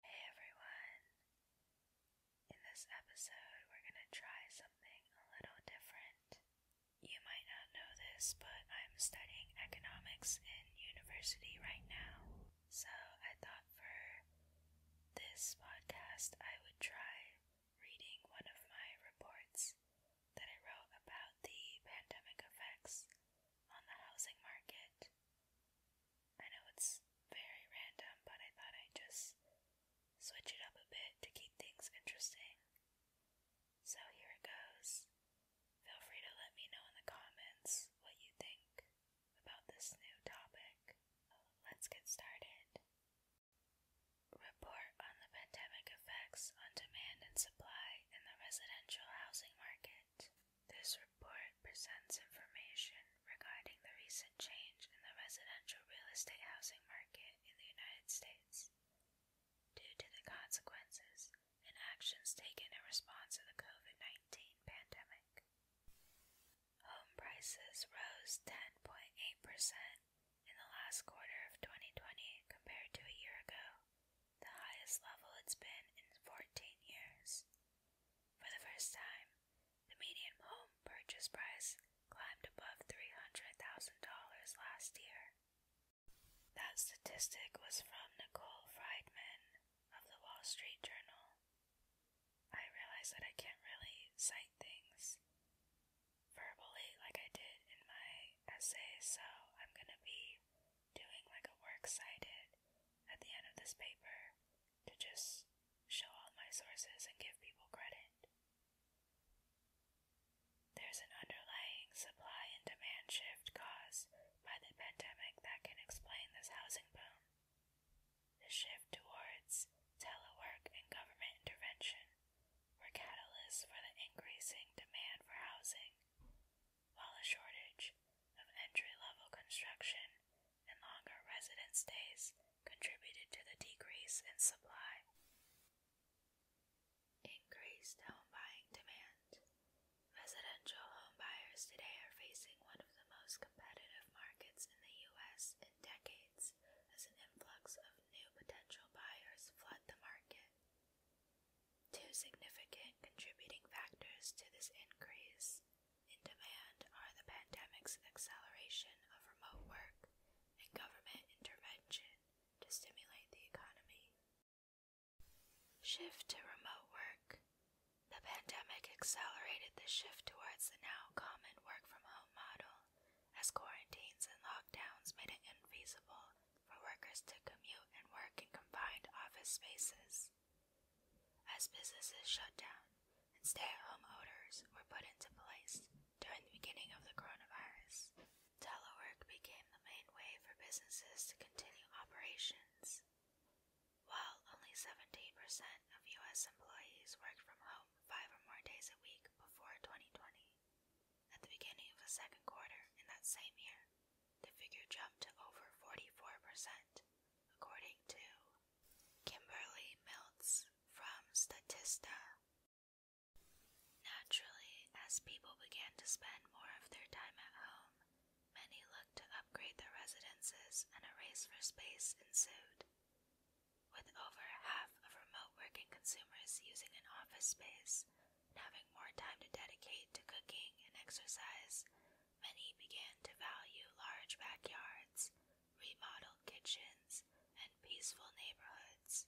Hey everyone! In this episode, we're going to try something a little different. You might not know this, but I'm studying economics in university right now. So I thought for this podcast, I would try reading one of my reports that I wrote about the pandemic effects on the housing market. I know it's very random, but I thought I'd just switch it up a bit to keep things interesting. So here it goes. Feel free to let me know in the comments what you think about this new topic. Let's get started. Report on the pandemic effects on demand and supply in the residential housing market. This report presents information regarding the recent change in the residential real estate housing market in the United States due to the consequences and actions taken in response to the COVID 19 pandemic. Home prices rose 10.8% in the last quarter of 2020 compared to a year ago, the highest level it's been in 14 years. For the first time, the median home purchase price climbed above $300,000 last year. That statistic was from Nicole Friedman of the Wall Street Journal. I realize that I can't really cite things verbally like I did in my essay, so I'm going to be doing like a works cited at the end of this paper to just show all my sources and give people credit. There's an underlying supply and demand shift caused by the pandemic that can explain this housing boom. The shift towards telework and government intervention were catalysts for the increasing demand for housing, while a shortage of entry-level construction and longer residence stays contributed to the decrease in supply. Increased home buying demand. Residential home buyers today are facing one of the most competitive markets in the U.S. in decades as an influx of new potential buyers flood the market. Two significant contributing factors to this increase in demand are the pandemic's acceleration of remote work and government intervention to stimulate the economy. Shift to remote work. The pandemic accelerated the shift towards the now common work from home model as quarantines and lockdowns made it infeasible for workers to commute and work in combined office spaces. As businesses shut down and stay at home orders were put into place during the beginning of the coronavirus, telework became the main way for businesses to continue operations. While only 17% of U.S. employees worked from home five or more days a week before 2020, at the beginning of the second quarter in that same year, the figure jumped over 44%, according to Kimberly Miltz from Statista. Naturally, as people began to spend more of their time at home, many looked to upgrade their residences and a race for space ensued. With over half of remote working consumers using an office space having more time to dedicate to cooking and exercise, many began to value large backyards, remodeled kitchens, and peaceful neighborhoods.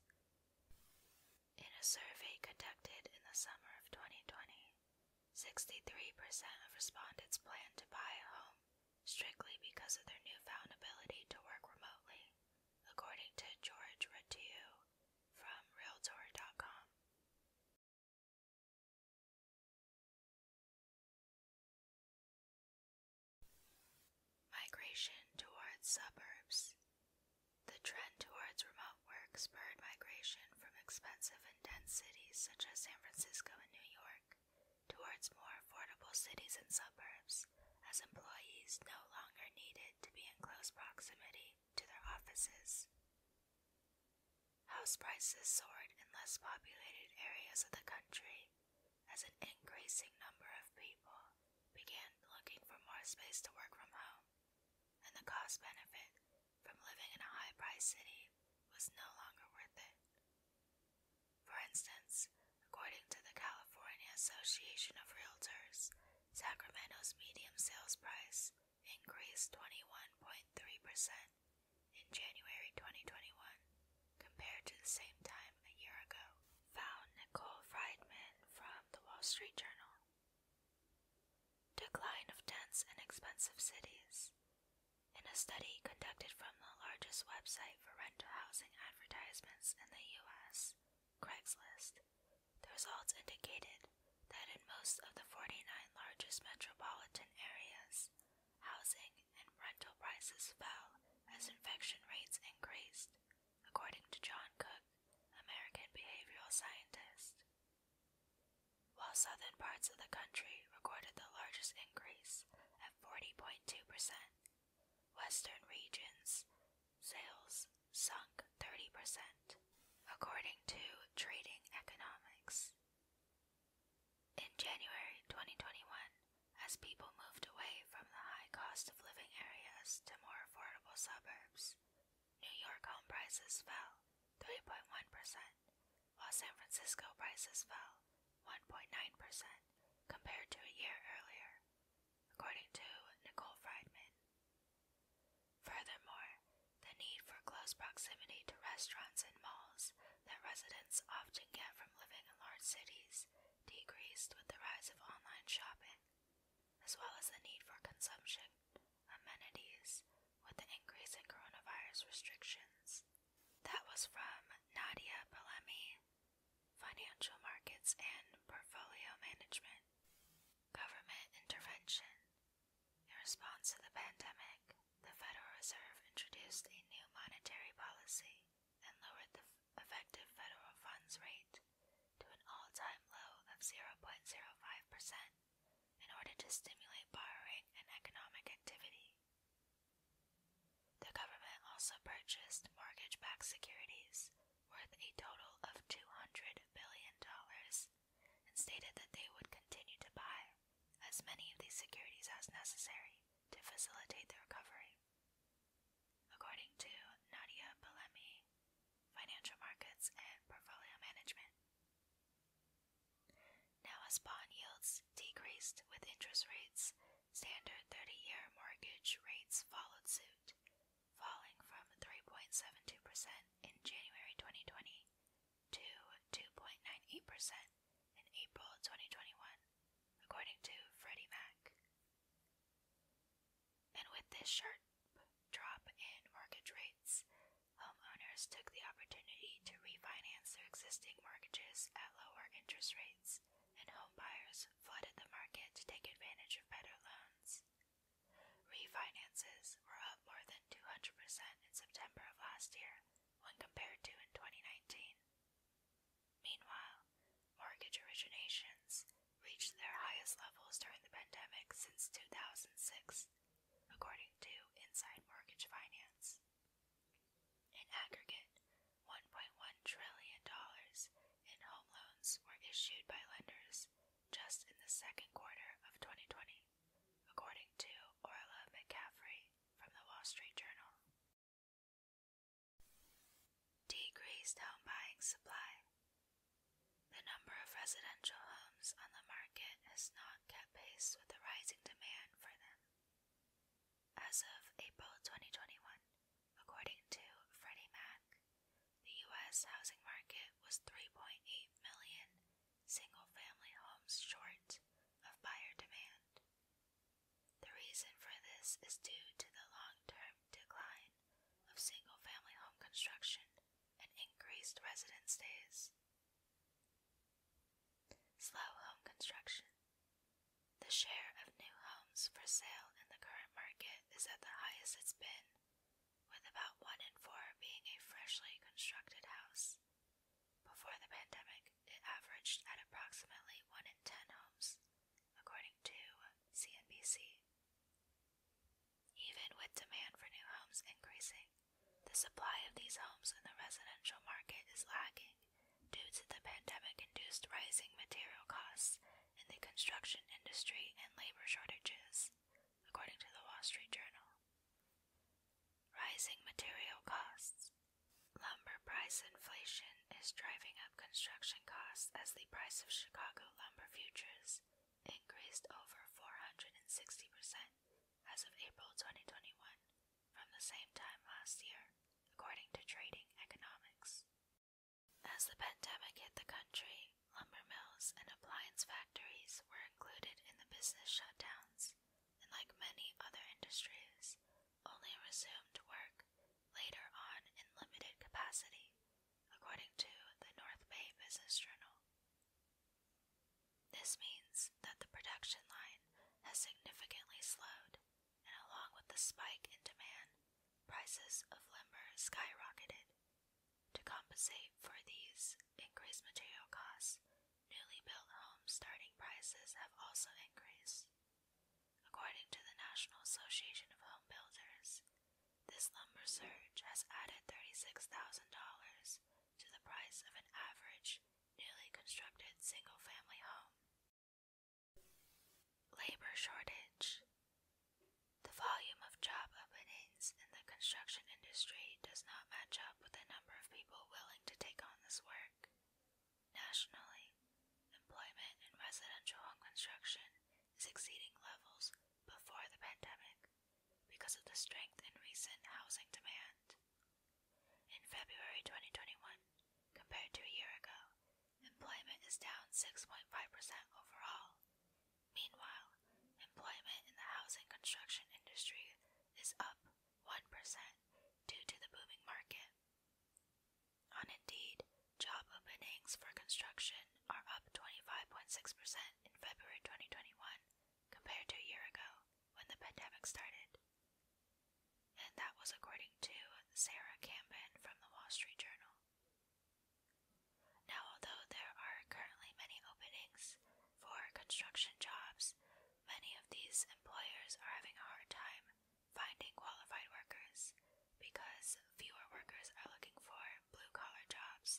In a survey conducted in the summer of 2020, 63% of respondents planned to buy a home strictly because of their newfound ability to work remotely, according to George Ratiou from Realtor.com. Migration towards suburbs. The trend towards remote work spurred migration from expensive and dense cities such as San Francisco and New York towards more affordable cities and suburbs, as employees no longer needed to be in close proximity to their offices. House prices soared in less populated areas of the country as an increasing number of people began looking for more space to work from home, and the cost benefit from living in a high priced city was no longer worth it. For instance, according to the California Association of Realtors, Sacramento's median sales price increased 21.3% in January 2021 compared to the same time a year ago, found Nicole Friedman from The Wall Street Journal. Decline of dense and expensive cities. In a study conducted from the largest website for rental housing advertisements in the U.S., Craigslist, the results indicated that in most of the 49 largest metropolitan areas, housing and rental prices fell as infection rates increased, according to John Cook, American behavioral scientist. While southern parts of the country recorded the largest increase at 40.2%, western regions' sales sunk 30%, according to Trading Economics. In January 2021, as people moved away from the high cost of living areas to more affordable suburbs, New York home prices fell 3.1%, while San Francisco prices fell 1.9% compared to a year earlier, according to Nicole Friedman. Furthermore, the need for close proximity to restaurants and malls that residents often get from living in large cities decreased with the rise of online shopping, as well as the need for consumption amenities with the increase in coronavirus restrictions. That was from Nadia Palemi, Financial Markets and Portfolio Management. Government intervention. In response to the pandemic, the Federal Reserve introduced a new monetary policy and lowered the effective federal funds rate to an all time low of 0.05% in order to stimulate borrowing and economic activity. The government also purchased mortgage backed securities worth a total of $200 billion, and stated that they would continue to buy as many of these securities as necessary to facilitate the recovery. According to Nadia Palemi, Financial Markets and Portfolio Management. Now, as bond yields decreased with interest rates, standard 30 year mortgage rates followed suit, falling from 3.72% in January 2020 to 2.98% in April 2021, according to Freddie Mac. And with this sharp drop in mortgage rates, homeowners took the opportunity to refinance their existing mortgages at lower interest rates, and home buyers flooded the market to take advantage of better loans. Refinances were up more than 200% in September of last year when compared to in 2019. Meanwhile, mortgage originations reached their highest levels during the pandemic since 2006, according to Inside Mortgage Finance. In aggregate, $1.1 trillion in home loans were issued by lenders just in the second quarter of 2020, according to Orla McCaffrey from the Wall Street Journal. Decreased home buying supply. The number of residential homes on the market has not kept pace with the rising demand for them. As of April 2021, According to Freddie Mac, the U.S. housing market was 3.8 million single family homes short of buyer demand. The reason for this is due to the long term decline of single family home construction and increased residence days. Slow home construction. The share of new homes for sale in the current market is at the highest it's been with about one in four being a freshly constructed house. Before the pandemic, it averaged at approximately one in ten homes, according to CNBC. Even with demand for new homes increasing, the supply of these homes in the residential market is lagging due to the pandemic induced rising material costs in the construction industry and labor shortages, according to the Wall Street Journal. Rising material costs. Lumber price inflation is driving up construction costs as the price of Chicago lumber futures increased over 460% as of April 2021 from the same time last year, according to Trading Economics. As the pandemic hit the country, lumber mills and appliance factories were included in the business shutdowns, and like many other industries, only resumed work later on in limited capacity, according to the North Bay Business Journal. This means that the production line has significantly slowed, and along with the spike in demand, Prices of lumber skyrocketed. To compensate for these increased material costs, newly built homes' starting prices have also increased. According to the National Association of Home Builders, this lumber surge has added $36,000 to the price of an average newly constructed single family home. Labor shortage. The volume of job openings in the construction industry does not match up with the number of people willing to take on this work. Nationally, employment in residential home construction is exceeding levels before the pandemic because of the strength in recent housing demand. In February 2021, compared to a year ago, Employment is down 6.5% overall. Meanwhile, employment in the housing construction industry is up 1% due to the booming market. On Indeed, job openings for construction are up 25.6% in February 2021 compared to a year ago when the pandemic started. And that was according to Sarah Campbell from the Wall Street Journal. Now, although there are currently many openings for construction jobs, many of these employers are having a hard time finding qualified workers because fewer workers are looking for blue collar jobs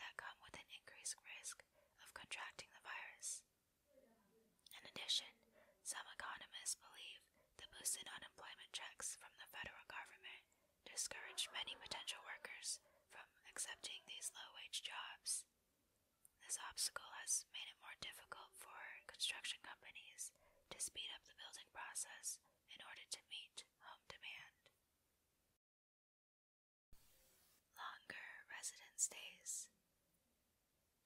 that come with an increased risk of contracting the virus. In addition, some economists believe the boost in unemployment checks from the federal government discouraged many potential workers from accepting these low wage jobs. This obstacle has made it more difficult for construction companies to speed up the building process in order to meet home demand. Longer residence days,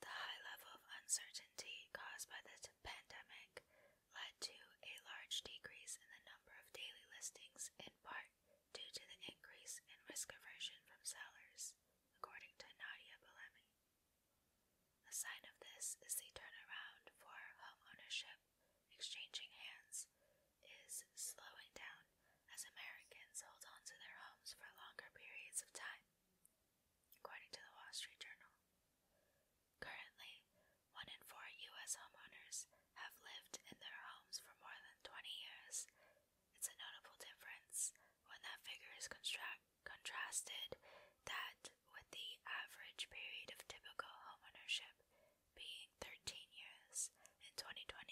The high level of uncertainty caused by this pandemic led to a large decrease in the number of daily listings, in part due to the increase in risk aversion from sellers, according to Nadia Belemi. A sign of this is the turnaround for home ownership, exchanging hands, is slowing down as Americans hold on to their homes for longer periods of time, according to the Wall Street Journal. Currently, one in four U.S. homeowners have lived in their homes for more than 20 years. It's a notable difference when that figure is contrasted that with the average period of typical homeownership being 13 years in 2020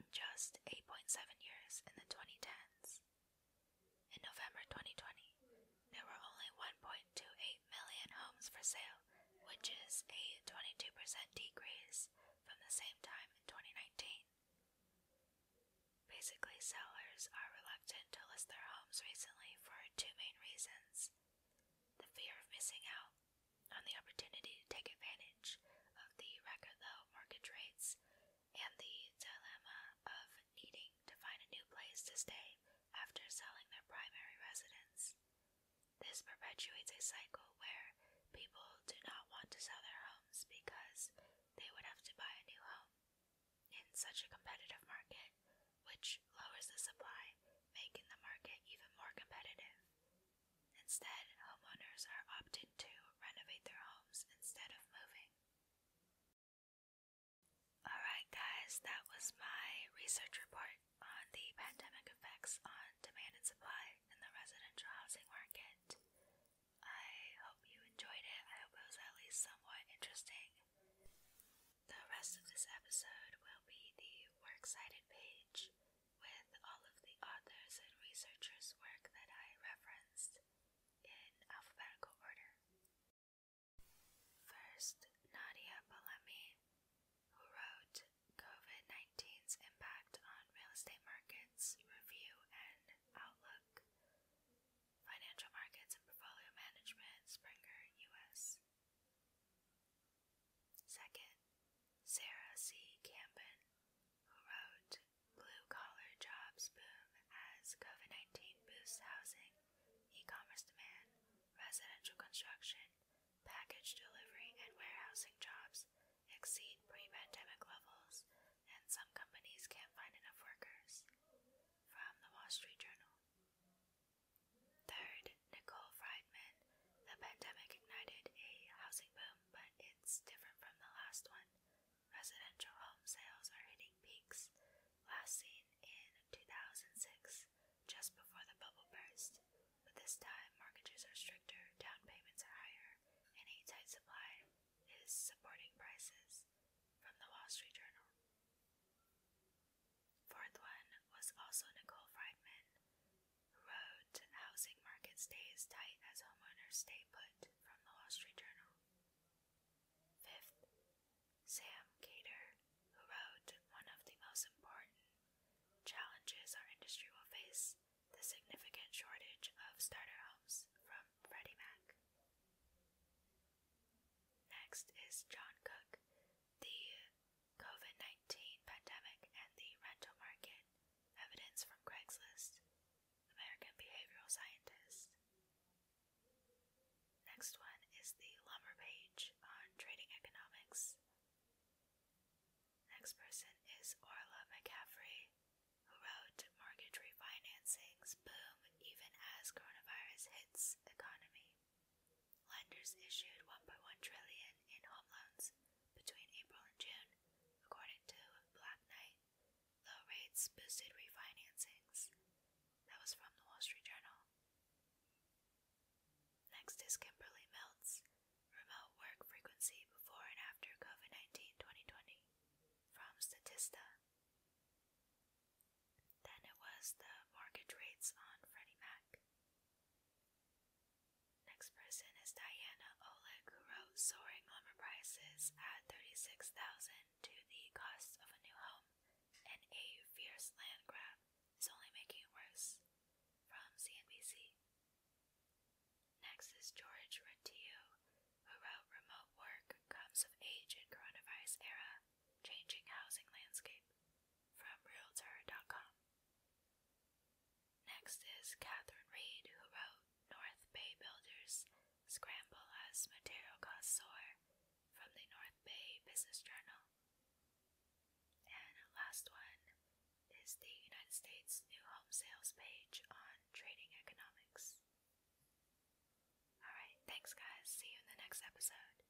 and just 8.7 years in the 2010s. In November 2020, there were only 1.28 million homes for sale, which is a 22% decrease from the same time in 2019. Basically, sellers are reluctant to list their homes recently for two main reasons the fear of missing out on the opportunity to take advantage of the record low mortgage rates and the dilemma of needing to find a new place to stay after selling their primary residence. This perpetuates a cycle where people do not want to sell their homes because they would have to buy a new home in such a competitive market, which lowers the supply, making the market even more competitive. Instead, homeowners are opting to renovate their homes instead of moving. Alright, guys, that was my research report on the pandemic effects on demand and supply in the residential housing market. I hope you enjoyed it. I hope it was at least somewhat interesting. The rest of this episode will be the Works Cited page with all of the authors and researchers' work that I referenced in alphabetical order. First, Nadia Bolemi, who wrote COVID 19's Impact on Real Estate Markets Review and Outlook, Financial Markets and Portfolio Management, Springer, U.S. Second, Sarah C. Campen, who wrote Blue collar jobs boom as COVID 19 boosts housing, e commerce demand, residential construction, package delivery, and warehousing jobs exceed pre pandemic levels, and some companies can't find enough workers. From the Wall Street Journal. Third, Nicole Friedman. The pandemic ignited a housing boom, but it's different from the last one. Residential home sales are hitting peaks, last seen in 2006, just before the bubble burst. But this time, mortgages are stricter, down payments are higher, and a tight supply is supporting prices. From the Wall Street Journal. Fourth one was also Nicole Friedman, who wrote Housing market stays tight as homeowners stay put from the Wall Street Journal. Fifth, Sam Cater, who wrote one of the most important challenges our industry will face the significant shortage of starter homes from Freddie Mac. Next is John Cook, the COVID 19 pandemic and the rental market, evidence from Craigslist, American behavioral scientist. Next one is the Lumber Page on trading economics. Next person is Orla McCaffrey, who wrote Mortgage Refinancings Boom Even as Coronavirus Hits Economy. Lenders issued 1.1 trillion in home loans between April and June, according to Black Knight. The rates boosted refinancings. That was from the Wall Street Journal. Next is Kimberly Melts, Remote Work Frequency Before and After COVID 19 from Statista. Then it was the mortgage rates on Freddie Mac. Next person is Diana Oleg, who wrote Soaring Lumber Prices add 36,000 to the cost of a new home, and a fierce land grab is only making it worse. From CNBC. Next is George Rentillo, who wrote Remote Work Comes of Age in Coronavirus Era Changing Housing Landscape from Realtor.com. Next is Catherine Reed, who wrote North Bay builders scramble as material costs soar from the North Bay Business Journal. And last one is the United States New Home Sales page on trading economics. Alright, thanks guys. See you in the next episode.